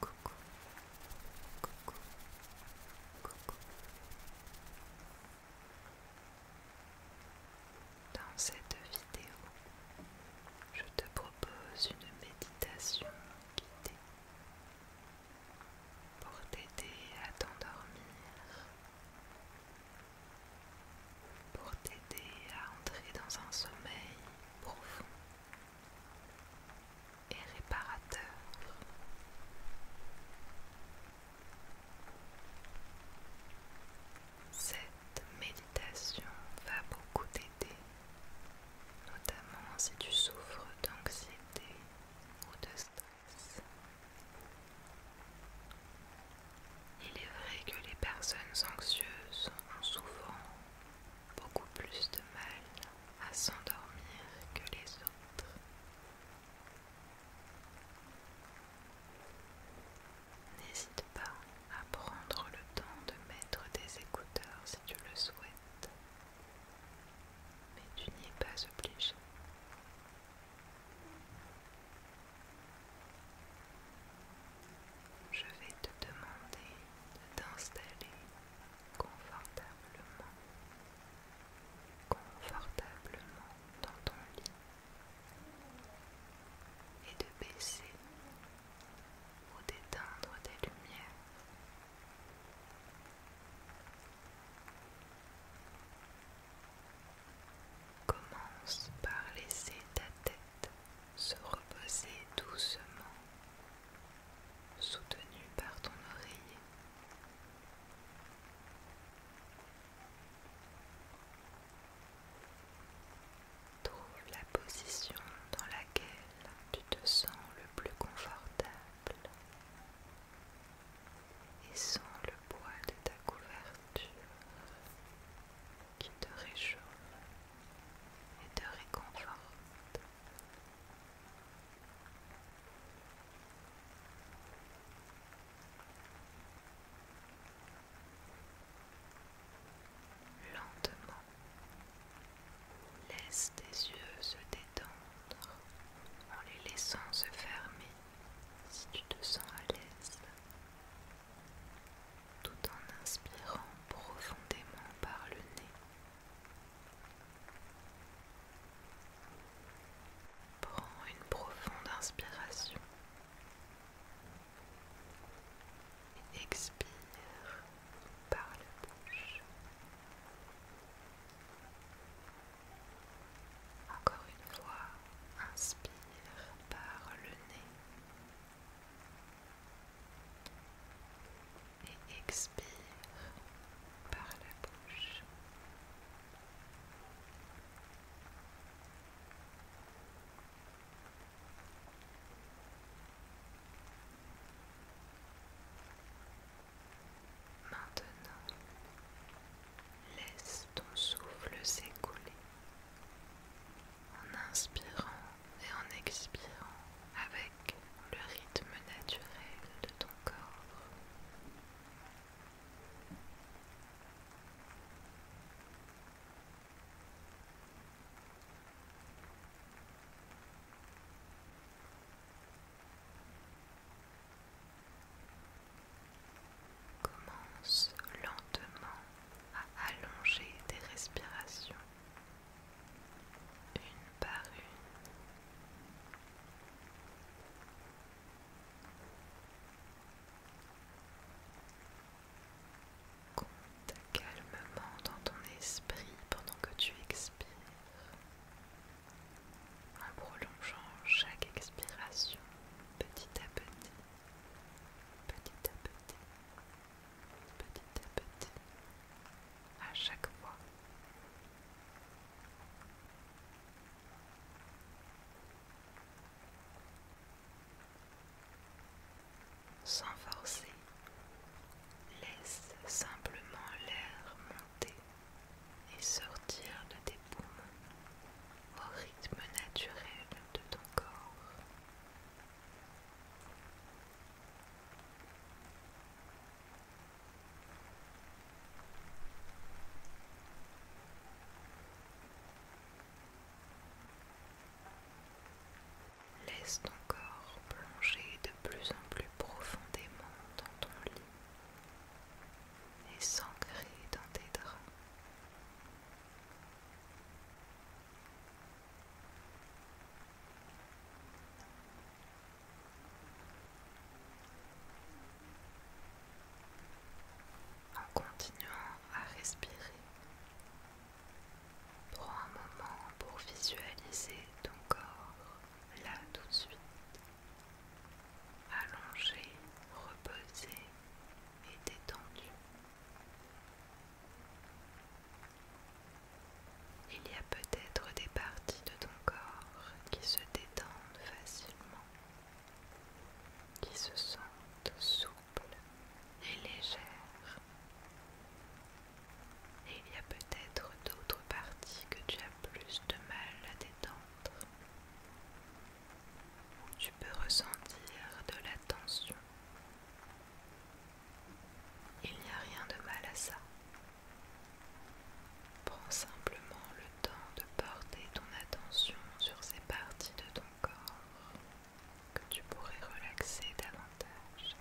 Coucou, Dans cette vidéo, je te propose une méditation guidée pour t'aider à t'endormir, pour t'aider à entrer dans un sommeil profond et réparateur. Cette méditation va beaucoup t'aider, notamment si tu souffres d'anxiété ou de stress. Il est vrai que les personnes anxieuses ont souvent beaucoup plus de mal à s'endormir que les autres. N'hésite pas à prendre le temps de mettre des écouteurs si tu le souhaites, mais tu n'y es pas obligé. Je vais te demander de t'installer confortablement, confortablement dans ton lit et de baisser ou d'éteindre des lumières. Commence par laisser ta tête se reposer doucement soutenu par ton oreiller. Trouve la position dans laquelle tu te sens le plus confortable et sens le poids de ta couverture qui te réchauffe et te réconforte. Lentement, laisse tes yeux se détendre en les laissant se fermer si tu te sens à l'aise, tout en inspirant profondément par le nez Prends une profonde inspiration. Et expire par la bouche. Encore une fois, inspire par le nez et expire par la bouche. Maintenant, laisse ton souffle s'écouler en inspirant et en expirant avec le rythme naturel de ton corps. Commence lentement à allonger tes respirations une par une. Compte calmement dans ton esprit pendant que tu expires, en prolongeant chaque expiration petit à petit, petit à petit petit à petit, à chaque fois. Sans forcer, laisse simplement l'air monter et sortir de tes poumons au rythme naturel de ton corps. Laisse ton corps plonger de plus en plus profondément dans ton lit et s'ancrer dans tes draps. En continuant à respirer prends un moment pour visualiser ton corps là tout de suite, allongé, reposé et détendu. Il y a peut-être des parties de ton corps qui se détendent facilement, qui se sentent souples et légères. Et il y a peut-être d'autres parties que tu as plus de mal à détendre, où tu peux ressentir de la tension il n'y a rien de mal à ça. Prends simplement le temps de porter ton attention sur ces parties de ton corps que tu pourrais relaxer davantage.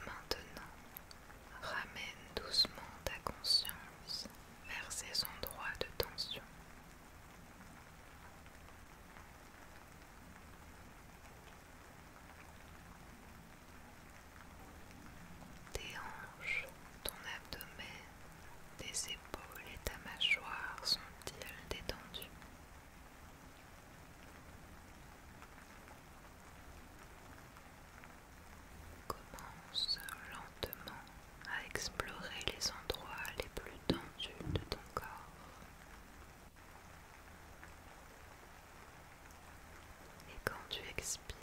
Maintenant, ramène doucement ta conscience vers ces endroits de tension. Tes hanches, ton abdomen, tes épaules et ta mâchoire sont-ils détendues Commence lentement à explorer les endroits les plus tendus de ton corps. Et quand tu expires,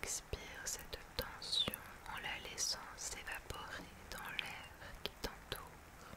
Expire cette tension en la laissant s'évaporer dans l'air qui t'entoure.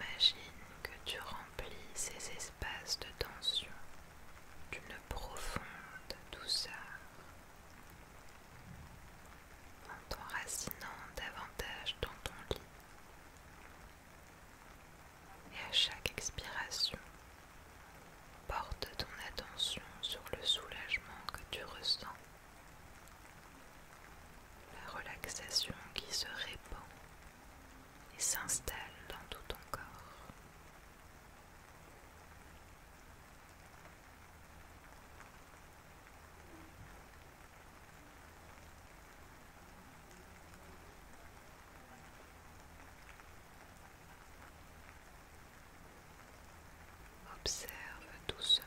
Imagine que tu remplis ces espaces de tension d'une profonde douceur en t'enracinant davantage dans ton lit. Et à chaque expiration, porte ton attention sur le soulagement que tu ressens la relaxation qui se répand et s'installe dans tout ton corps. Observe doucement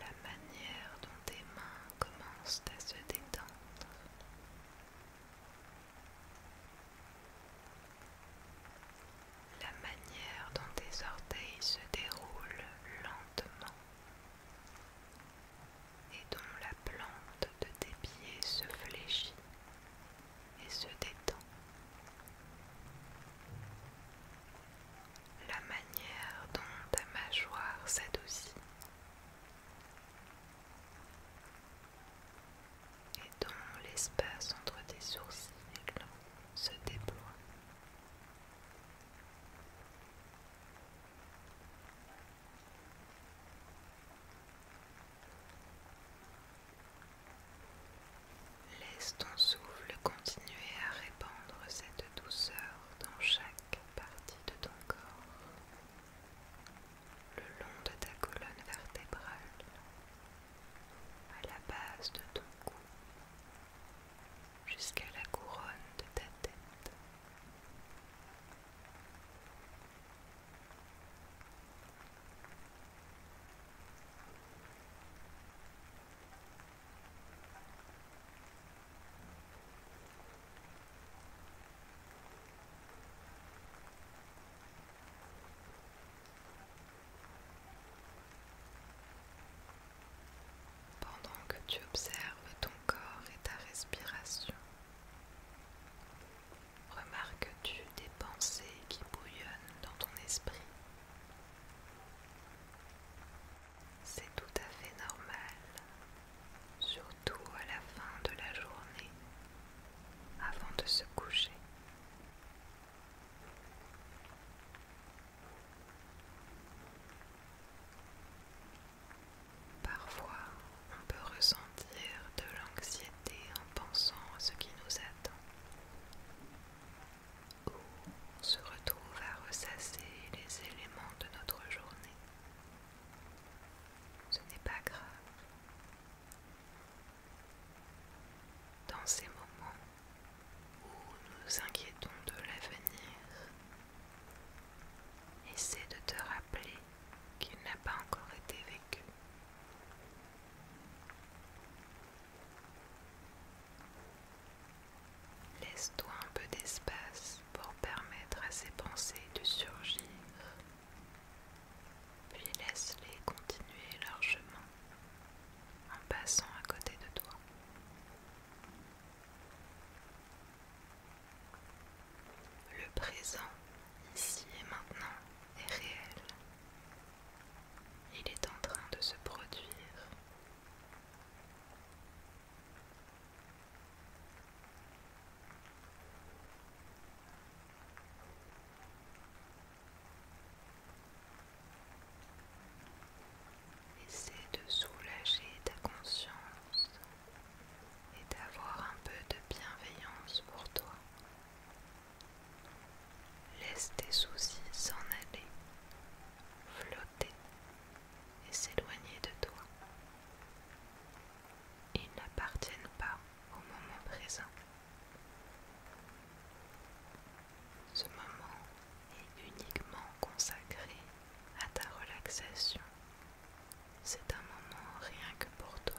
la manière dont tes mains commencent à se détendre. La manière dont tes orteils se déroulent lentement et dont la plante de tes pieds se fléchit et se détend la manière dont ta mâchoire s'adoucit et dont l'espace entre tes sourcils se déploie. Laisse ton souffle continuer à répandre cette douceur dans chaque partie de ton corps, le long de ta colonne vertébrale, à la base de ton cou, jusqu'à la couronne de ta tête. Pendant que tu observes ton corps et ta respiration, remarques-tu des pensées qui bouillonnent dans ton esprit c'est tout à fait normal, surtout à la fin de la journée, avant de se coucher. Parfois, on peut ressentir de l'anxiété en pensant à ce qui nous attend se retrouve à ressasser les éléments de notre journée. Ce n'est pas grave. Dans ces moments où nous inquiétons de l'avenir, essaie de te rappeler qu'il n'a pas encore été vécu. Laisse-toi un peu d'espace pour permettre à ces pensées de surgir, puis laisse-les continuer leur chemin en passant à côté de toi. Le présent, ici et maintenant, est réel. Il est en train de se produire Essaie de soulager ta conscience et d'avoir un peu de bienveillance pour toi. Laisse tes soucis s'en aller, flotter et s'éloigner de toi. Ils n'appartiennent pas au moment présent. Ce moment est uniquement consacré à ta relaxation. C'est un moment rien que pour toi.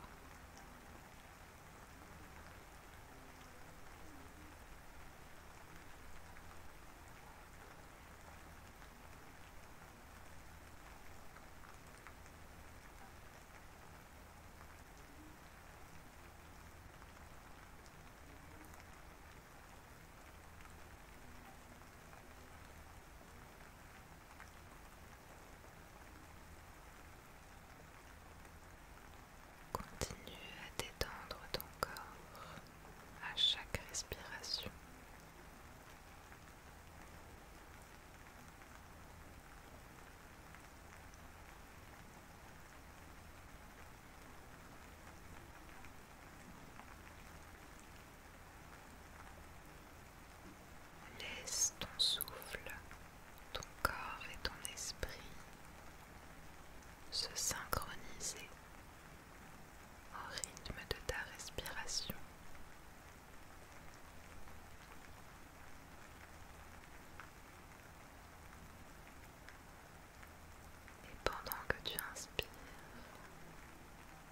Continue à détendre ton corps à chaque respiration. Laisse ton souffle, ton corps et ton esprit se synchroniser au rythme de ta respiration. Et pendant que tu inspires,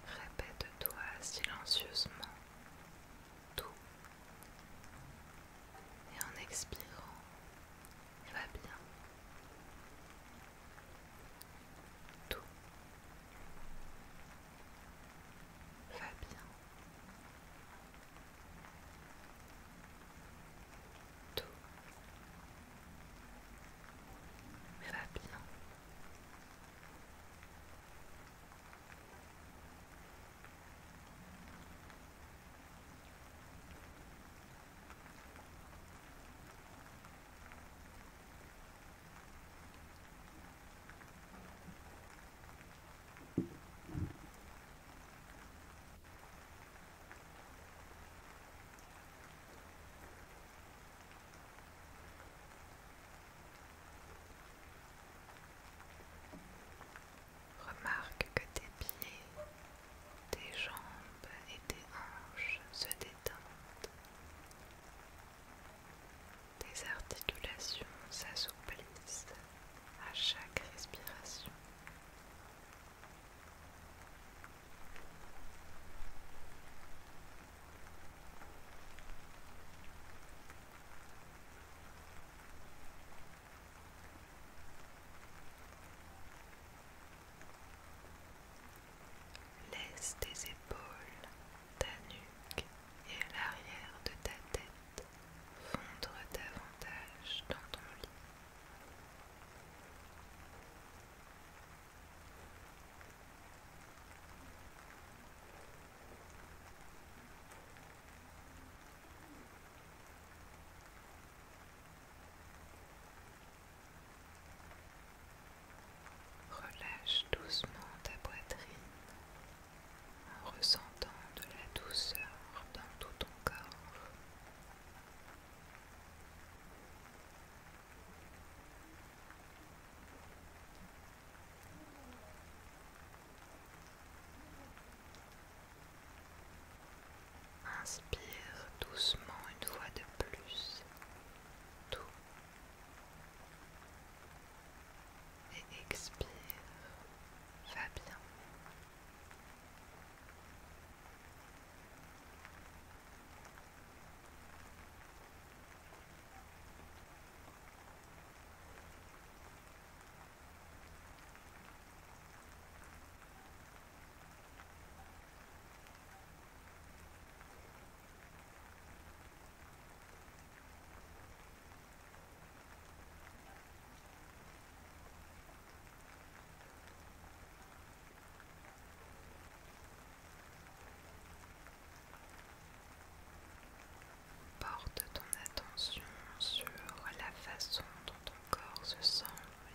répète-toi silencieusement tout. Et en expirant, va bien. Tout va bien. Tout va bien. Remarque que tes pieds, tes jambes et tes hanches se détendent. Des articulations s'assouplissent à chaque respiration. Laisse tes épaules, ta nuque et l'arrière de ta tête fondre davantage dans ton lit. Relâche doucement ta poitrine en ressentant de la douceur dans tout ton corps. Inspire doucement une fois de plus tout et expire, Fabien. Porte ton attention sur la façon dont ton corps se sent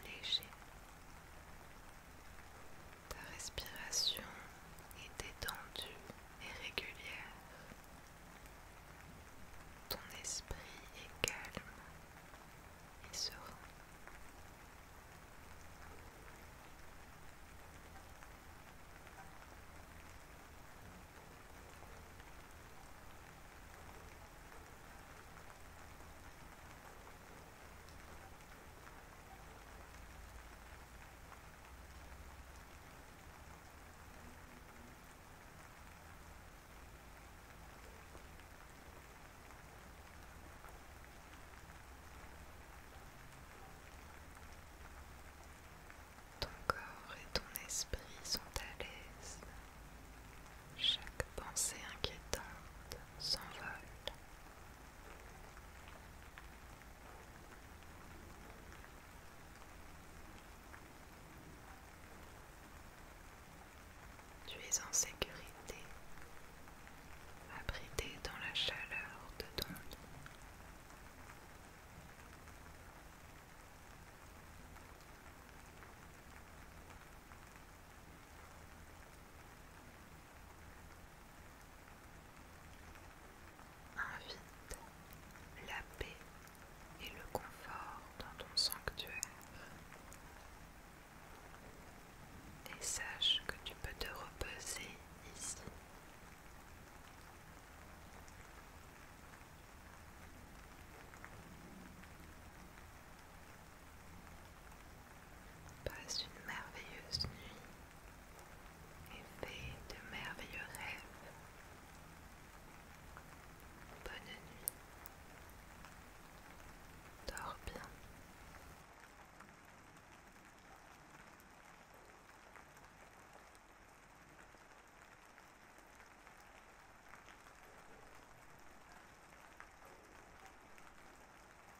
léger ta respiration est détendue et régulière. Ton esprit est calme et serein. Ton corps et ton esprit sont à l'aise. Chaque pensée inquiétante s'envole tu es en sécurité, abrité dans la chaleur de ton lit. Invite la paix et le confort dans ton sanctuaire. Et sache que tu peux te reposer ici. Passe une merveilleuse nuit et fais de merveilleux rêves. Bonne nuit. Dors bien.